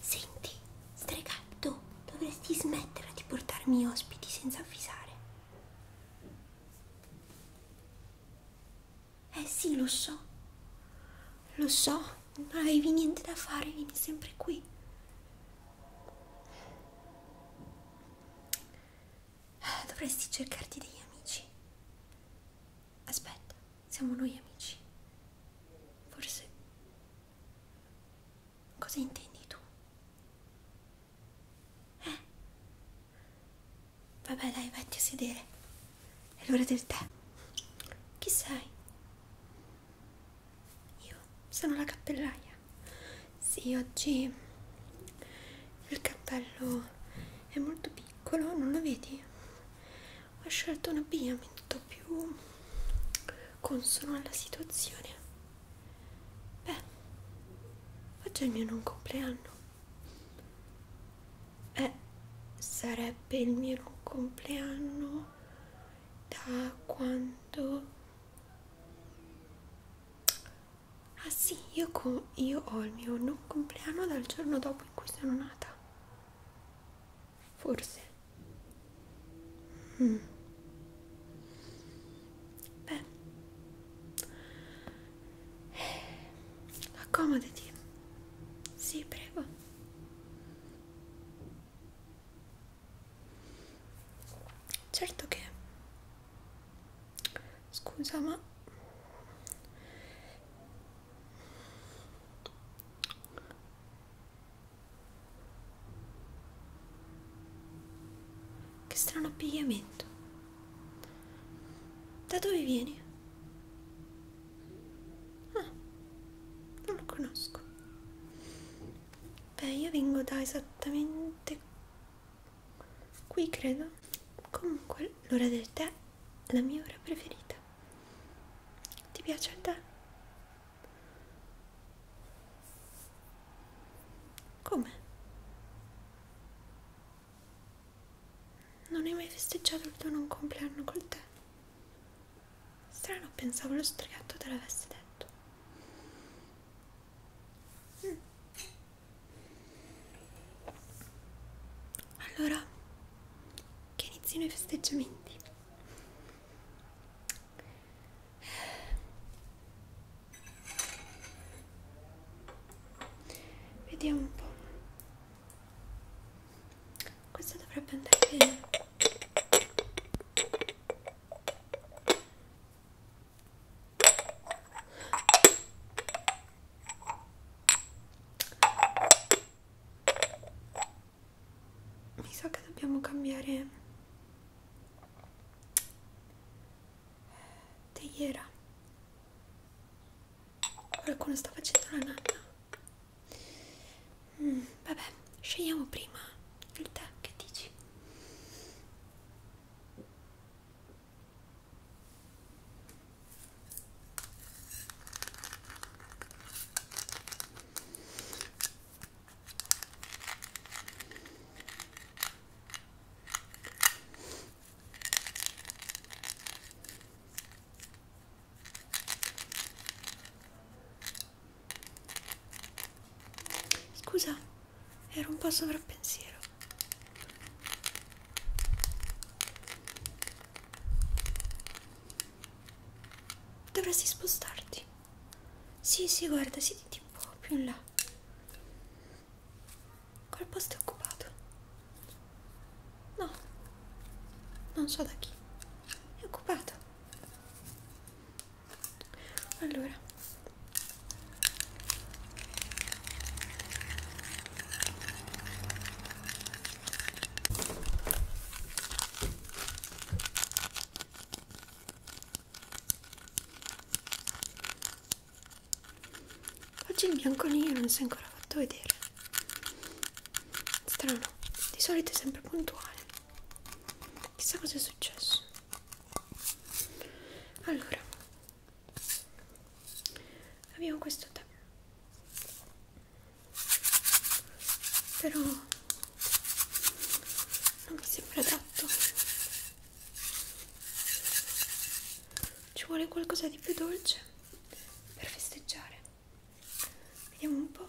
Senti, stregato, dovresti smettere di portarmi ospiti senza avvisare. Eh sì, lo so, lo so, non avevi niente da fare, vieni sempre qui. Dovresti cercarti degli amici. Aspetta siamo noi amici. Forse... Cosa intendi tu? Eh? Vabbè dai, vatti a sedere. È l'ora del tè. Chi sei? Io sono la cappellaia. Sì, oggi il cappello è molto piccolo, non lo vedi? ho scelto un abbigliamento più consono alla situazione beh oggi è il mio non compleanno eh sarebbe il mio non compleanno da quando ah sì io, io ho il mio non compleanno dal giorno dopo in cui sono nata Forse. Mm. Beh. Accomodati. Sì, prego. Certo che... Scusa, ma... Che strano appigliamento. Da dove vieni? Ah, non lo conosco. Beh, io vengo da esattamente qui, credo. Comunque, l'ora del tè è la mia ora preferita. Ti piace il tè? Come? Non hai mai festeggiato il tuo non compleanno col tè? Strano, pensavo lo strigatto te l'avesse detto. Mm. Allora che iniziano i festeggiamenti vediamo un po' questo dovrebbe andare bene mi sa che dobbiamo cambiare teiera qualcuno sta facendo la nanna mm, vabbè scegliamo prima il tè che dici Scusa, ero un po' sovrappensiero. Dovresti spostarti. Sì, sì, guarda, siediti un po' più in là. Quel posto è occupato. No, non so da chi. È occupato. Allora, Oggi il bianco nero non si è ancora fatto vedere. Strano, di solito è sempre puntuale. Chissà cosa è successo. Allora, abbiamo questo tè però non mi sembra adatto ci vuole qualcosa di più dolce per festeggiare vediamo un po'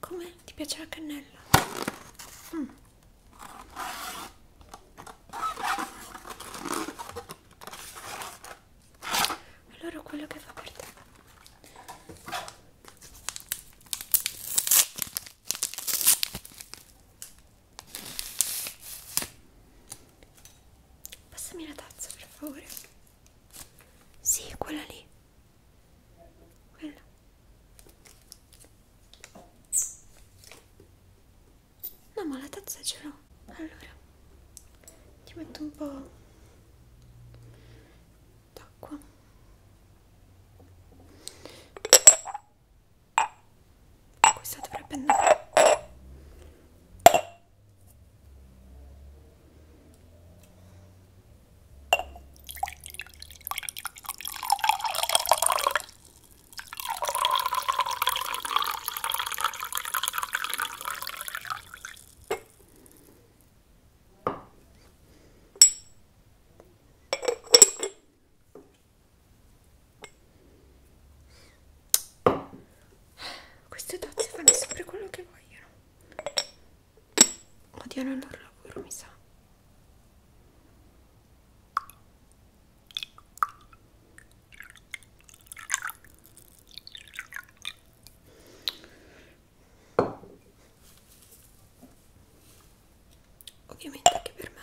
Come? Ti piace la cannella? Mm. Allora quello che fa per te. Passami la tazza per favore. Sì, quella lì. Quella. No, ma la tazza ce l'ho. Allora, ti metto un po' d'acqua. Questa dovrebbe andare. Queste tazze fanno sempre quello che vogliono odiano il loro lavoro mi sa Ovviamente anche per me.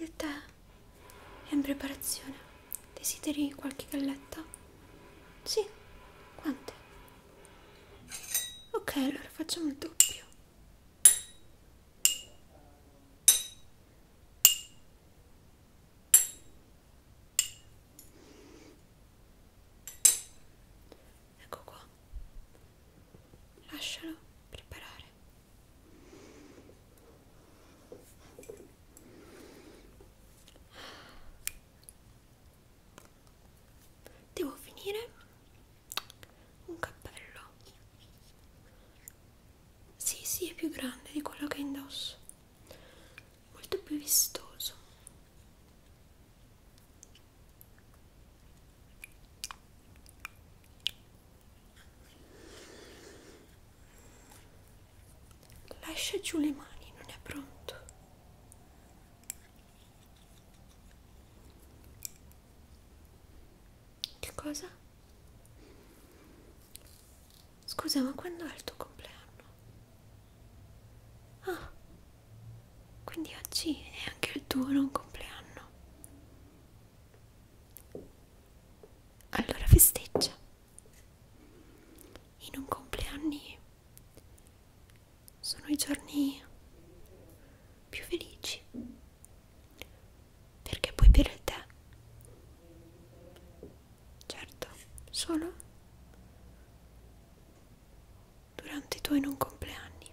Il tè è in preparazione. Desideri qualche galletta? Sì, quante? Ok, allora facciamo il doppio. Ecco qua. Lascialo preparare fare devo finire un cappello sì sì è più grande di quello che indosso molto più vistoso Lascia giù le mani, non è pronto. Che cosa? Scusa, ma quando è il tuo compleanno? Ah, quindi oggi è anche il tuo non compleanno. Allora festeggia. I non compleanni sono i giorni più felici perché puoi bere il tè. Certo, solo durante i tuoi non compleanni.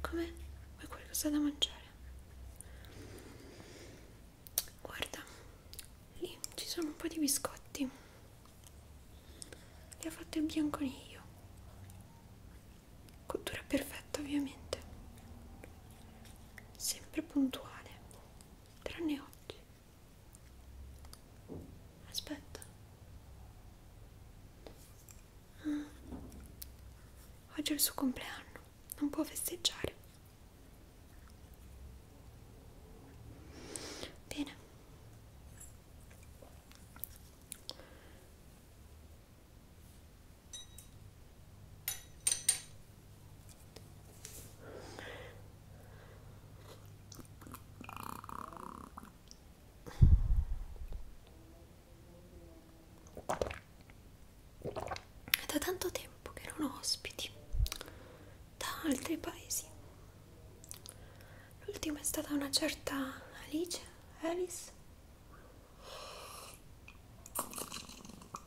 Come? Vuoi qualcosa da mangiare? Guarda, lì ci sono un po' di biscotti. Li ha fatti il bianconiglio. Cottura perfetta, ovviamente. Sempre puntuale, tranne oggi. Aspetta. Ah. Oggi è il suo compleanno, non può festeggiare. Bene. È da tanto tempo che non ho ospiti da altri paesi. L'ultima è stata una certa Alice, Alice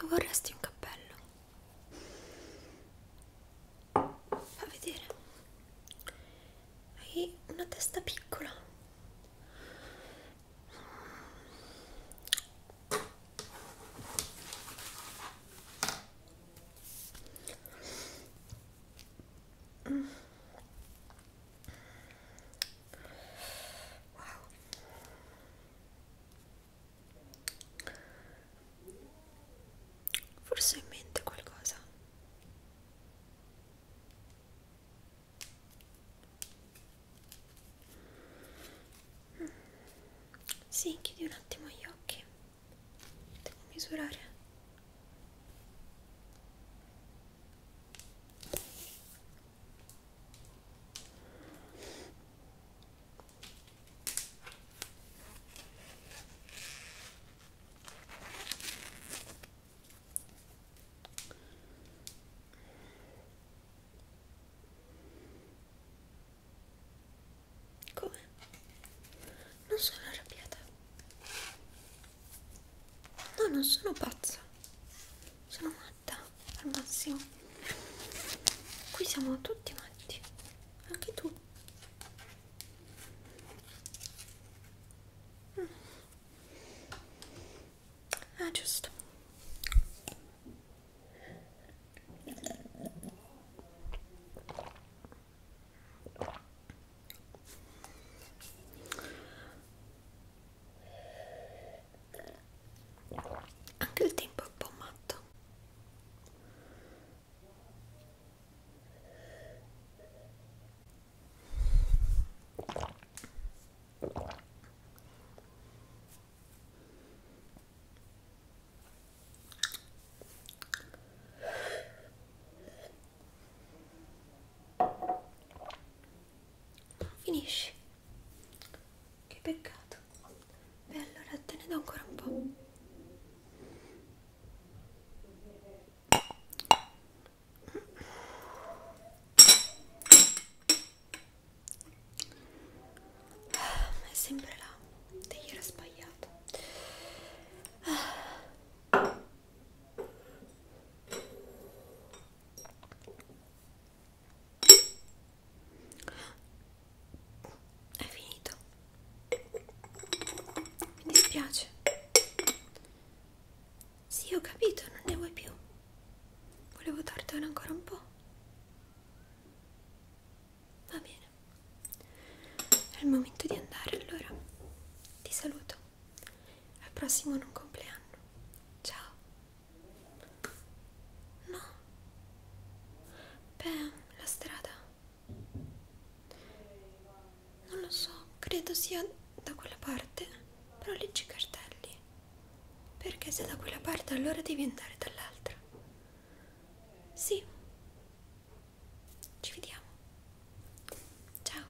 Lo vorresti un cappello? Fa vedere. Hai una testa piccola. Mm. Wow. Forse ho in mente qualcosa. Mm. Sì, chiudi un attimo gli occhi. Devo misurare. Come? Non sono arrabbiata. No, non sono pazza. Sono matta al massimo. Qui siamo tutti matti avanti anche tu mm. ah giusto anche il tempo è un po' matto non finisci che peccato perfetto beh allora te ne do ancora un po' ah, è sempre là te gli era sbagliato ah è finito mi dispiace sì ho capito non ne vuoi più volevo dartene ancora un po' va bene è il momento di andare allora ti saluto al prossimo non compleanno ciao No. Beh, la strada. Non lo so, credo sia da quella parte, però leggi i cartelli. Perché se da quella parte allora devi andare dall'altra. Sì. Ci vediamo. Ciao.